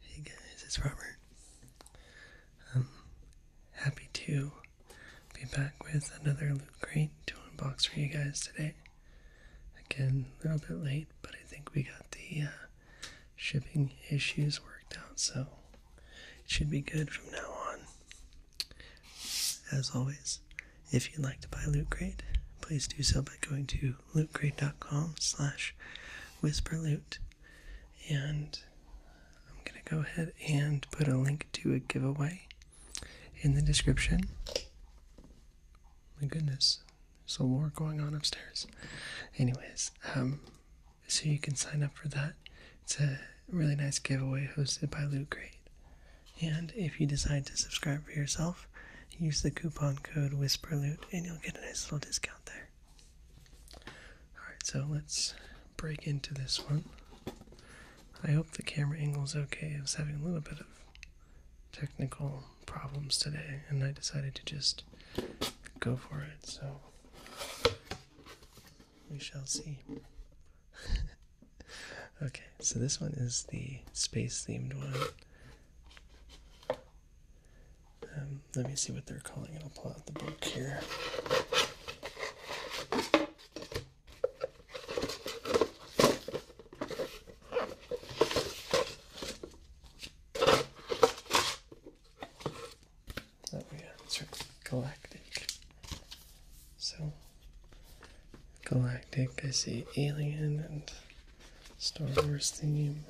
Hey guys, it's Robert. I'm um, happy to be back with another Loot Crate to unbox for you guys today. Again, a little bit late, but I think we got the uh, shipping issues worked out, so it should be good from now on. As always, if you'd like to buy Loot Crate, please do so by going to lootcrate.com slash whisperloot. And I'm going to go ahead and put a link to a giveaway in the description. My goodness, there's a war going on upstairs. Anyways, um, so you can sign up for that. It's a really nice giveaway hosted by Loot Crate. And if you decide to subscribe for yourself, use the coupon code WhisperLoot and you'll get a nice little discount there. Alright, so let's break into this one. I hope the camera angle is okay. I was having a little bit of technical problems today, and I decided to just go for it, so we shall see. Okay, so this one is the space themed one. Um, let me see what they're calling it. I'll pull out the book here. Oh yeah, it's galactic. So Galactic, I see Alien and Star Wars theme.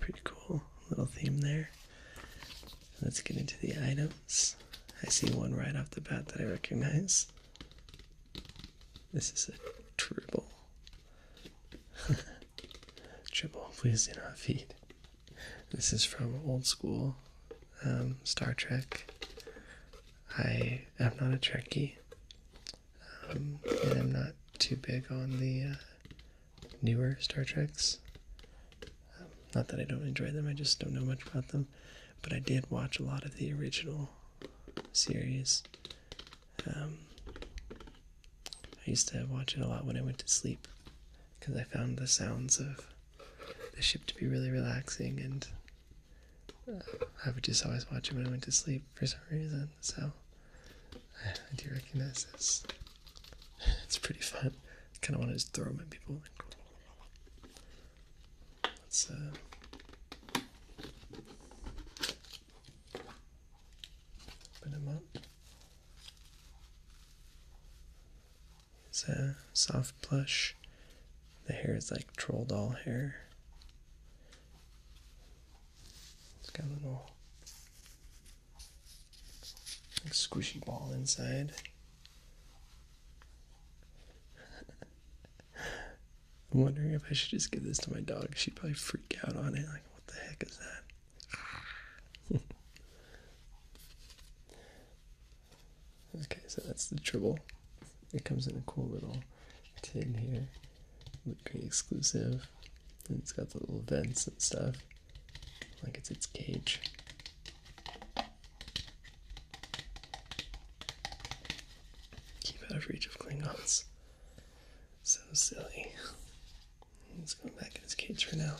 Pretty cool little theme there. Let's get into the items. I see one right off the bat that I recognize. This is a triple. triple, please do not feed. This is from old school um, Star Trek. I am not a Trekkie, um, and I'm not too big on the uh, newer Star Treks. Um, not that I don't enjoy them, I just don't know much about them. But I did watch a lot of the original series. I used to watch it a lot when I went to sleep because I found the sounds of the ship to be really relaxing, and uh, I would just always watch it when I went to sleep for some reason. So I, do recognize this. It's pretty fun. I kind of want to just throw them at people. Let's uh. Open them up. It's a soft plush. The hair is like troll doll hair. It's got a little squishy ball inside. I'm wondering if I should just give this to my dog. She'd probably freak out on it. Like, what the heck is that? okay, so that's the triple. It comes in a cool little tin here. Look pretty exclusive. it's got the little vents and stuff. Like it's its cage. Keep out of reach of Klingons. So silly. He's going back in his cage for now.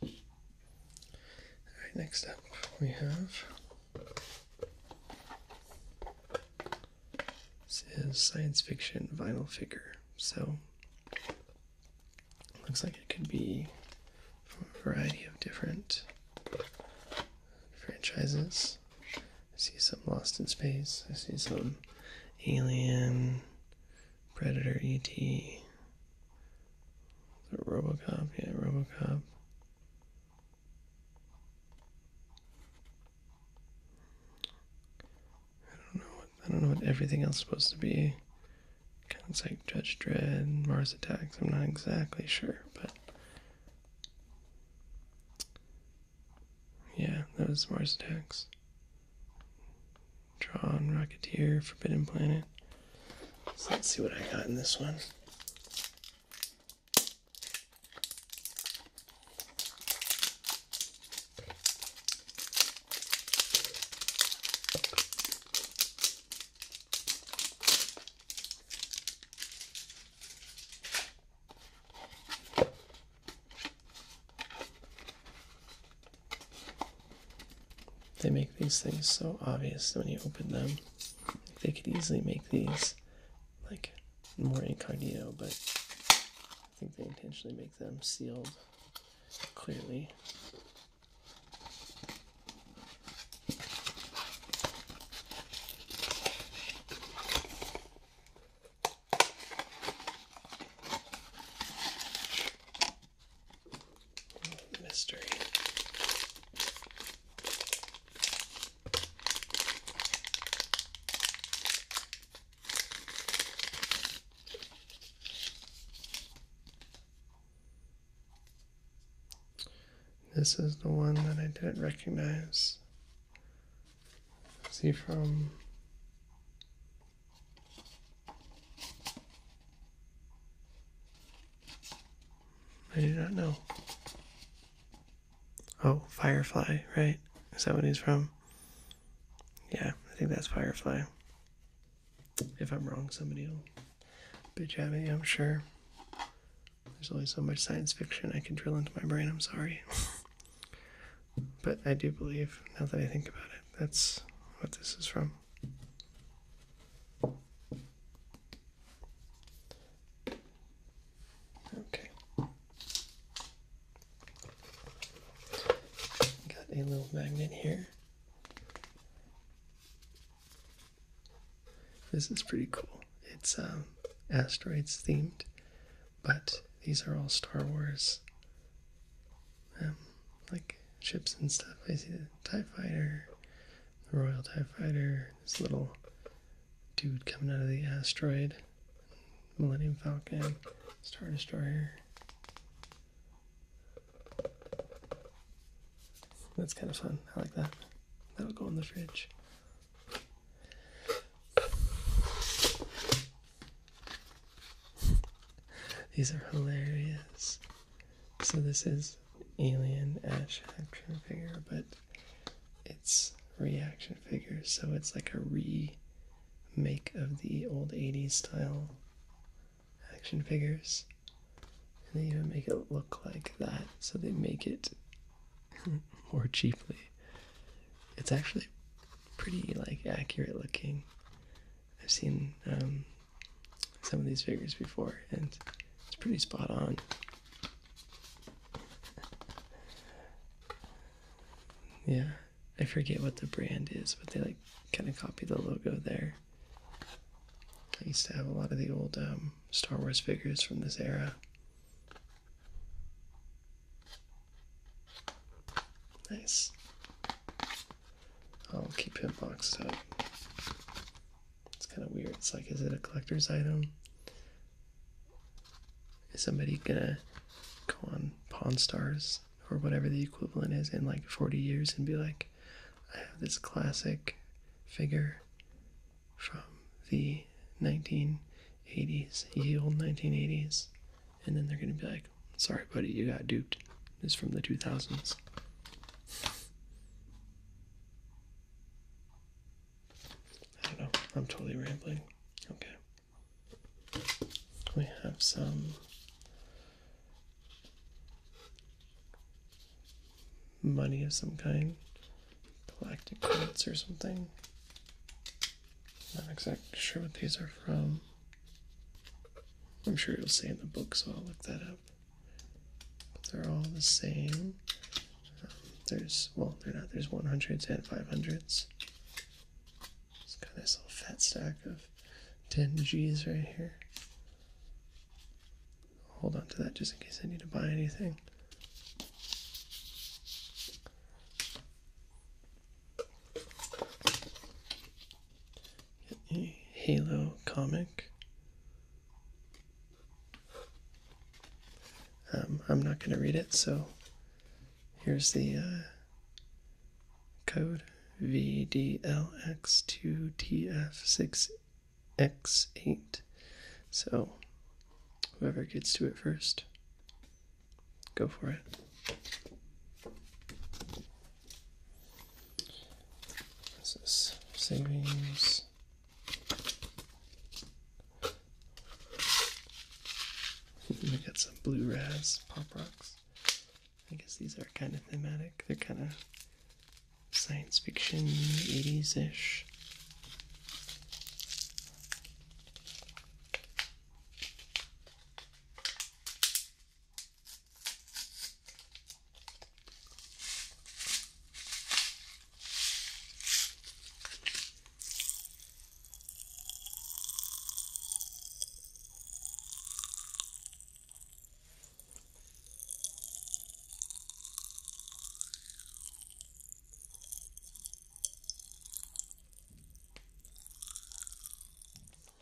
Alright, next up we have this is science fiction vinyl figure. So looks like it could be a variety of different franchises. I see some Lost in Space. I see some Alien, Predator, E.T., RoboCop. Yeah, RoboCop. I don't know. What, I don't know what everything else is supposed to be. Kind of like Judge Dredd, Mars Attacks. I'm not exactly sure, but yeah, those Mars Attacks. Drawn, Rocketeer, Forbidden Planet. let's see what I got in this one. They make these things so obvious when you open them. They could easily make these like more incognito, but I think they intentionally make them sealed clearly. Mystery. This is the one that I didn't recognize. See from? I do not know. Oh, Firefly, right? Is that what he's from? Yeah, I think that's Firefly. If I'm wrong, somebody will bitch at me, I'm sure. There's only so much science fiction I can drill into my brain, I'm sorry. but I do believe, now that I think about it, that's what this is from. Okay. Got a little magnet here. This is pretty cool. It's um, asteroids themed, but these are all Star Wars, um, like ships and stuff. I see the TIE Fighter, the Royal TIE Fighter, this little dude coming out of the asteroid, Millennium Falcon, Star Destroyer. That's kind of fun. I like that. That'll go in the fridge. These are hilarious. So this is Alien Ash action figure, but it's reaction figure, so it's like a remake of the old 80s style action figures. And they even make it look like that, so they make it more cheaply. It's actually pretty like accurate looking. I've seen um, some of these figures before, and it's pretty spot on. yeah, I forget what the brand is, but they like kind of copy the logo there. I used to have a lot of the old um, Star Wars figures from this era. Nice. I'll keep him boxed up. It's kind of weird. It's like, is it a collector's item? Is somebody gonna go on Pawn Stars or whatever the equivalent is in like 40 years and be like, I have this classic figure from the 1980s, ye old 1980s. And then they're going to be like, sorry, buddy, you got duped. It's from the 2000s. I don't know. I'm totally rambling. Okay. We have some money of some kind, galactic credits or something. Not exactly sure what these are from. I'm sure it'll say in the book, so I'll look that up. they're all the same. there's, well, they're not, there's 100s and 500s. it kind of this little fat stack of 10 G's right here. Hold on to that just in case I need to buy anything. Get a Halo comic. Um, I'm not going to read it, so here's the uh, code VDLX2TF6X8. So whoever gets to it first, go for it. This is savings. we got some blue raz pop rocks. I guess these are kind of thematic. They're kind of science fiction, 80s ish.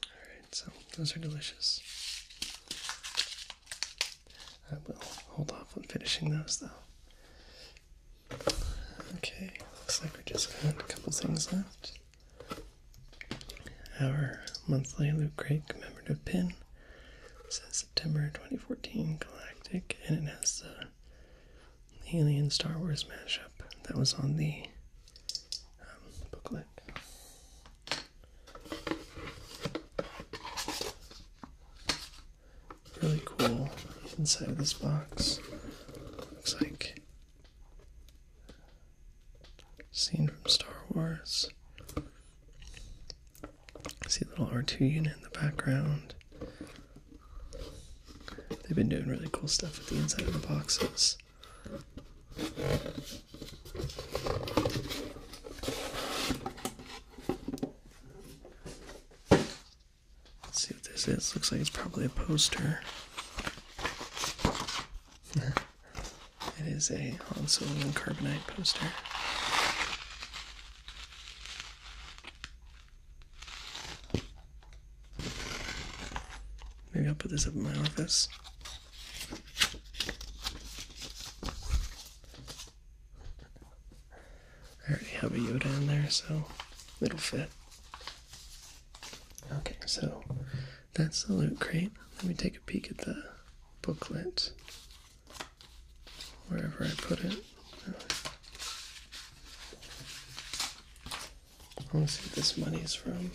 Alright, so those are delicious. I will hold off on finishing those though. Okay, looks like we just got a couple things left. Our monthly loot crate commemorative pin says September 2014 Galactic, and it has the Alien Star Wars mashup that was on the um, booklet. Really cool inside of this box. Looks like Scene from Star Wars. see a little R2 unit in the background. They've been doing really cool stuff with the inside of the boxes. Let's see what this is. Looks like it's probably a poster. it is a Han Solo and Carbonite poster. Maybe I'll put this up in my office. I already have a Yoda in there, so it'll fit. Okay, so that's the loot crate. Let me take a peek at the booklet wherever I put it. I want to see what this money is from.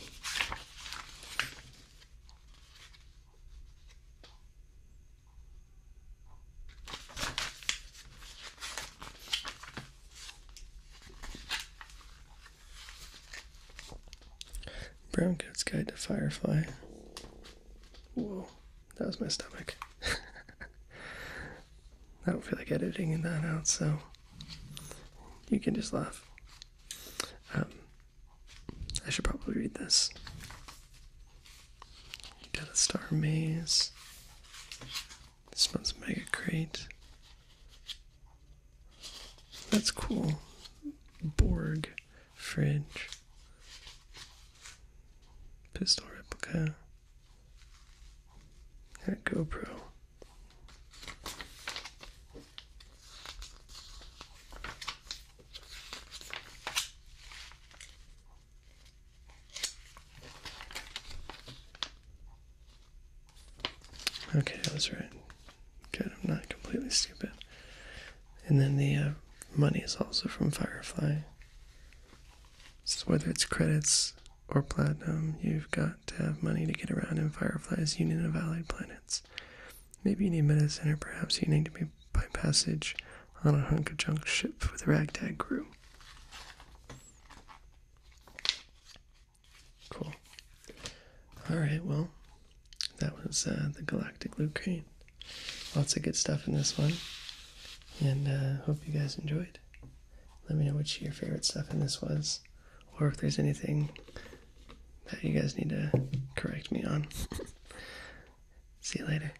Brown Coat's Guide to Firefly. Whoa, that was my stomach. I don't feel like editing that out, so you can just laugh. Um, I should probably read this. got a star maze. This one's mega great. That's cool. Borg fridge. Pistol replica. That GoPro. Okay, that's right. Good, I'm not completely stupid. And then the uh, money is also from Firefly. So whether it's credits or platinum, you've got to have money to get around in Firefly's Union of Allied Planets. Maybe you need medicine, or perhaps you need to be by passage on a hunk of junk ship with a ragtag crew. Cool. All right, well, that was uh, the Galactic Loot Crate. Lots of good stuff in this one, and uh, hope you guys enjoyed. Let me know which your favorite stuff in this was, or if there's anything that you guys need to correct me on. See you later.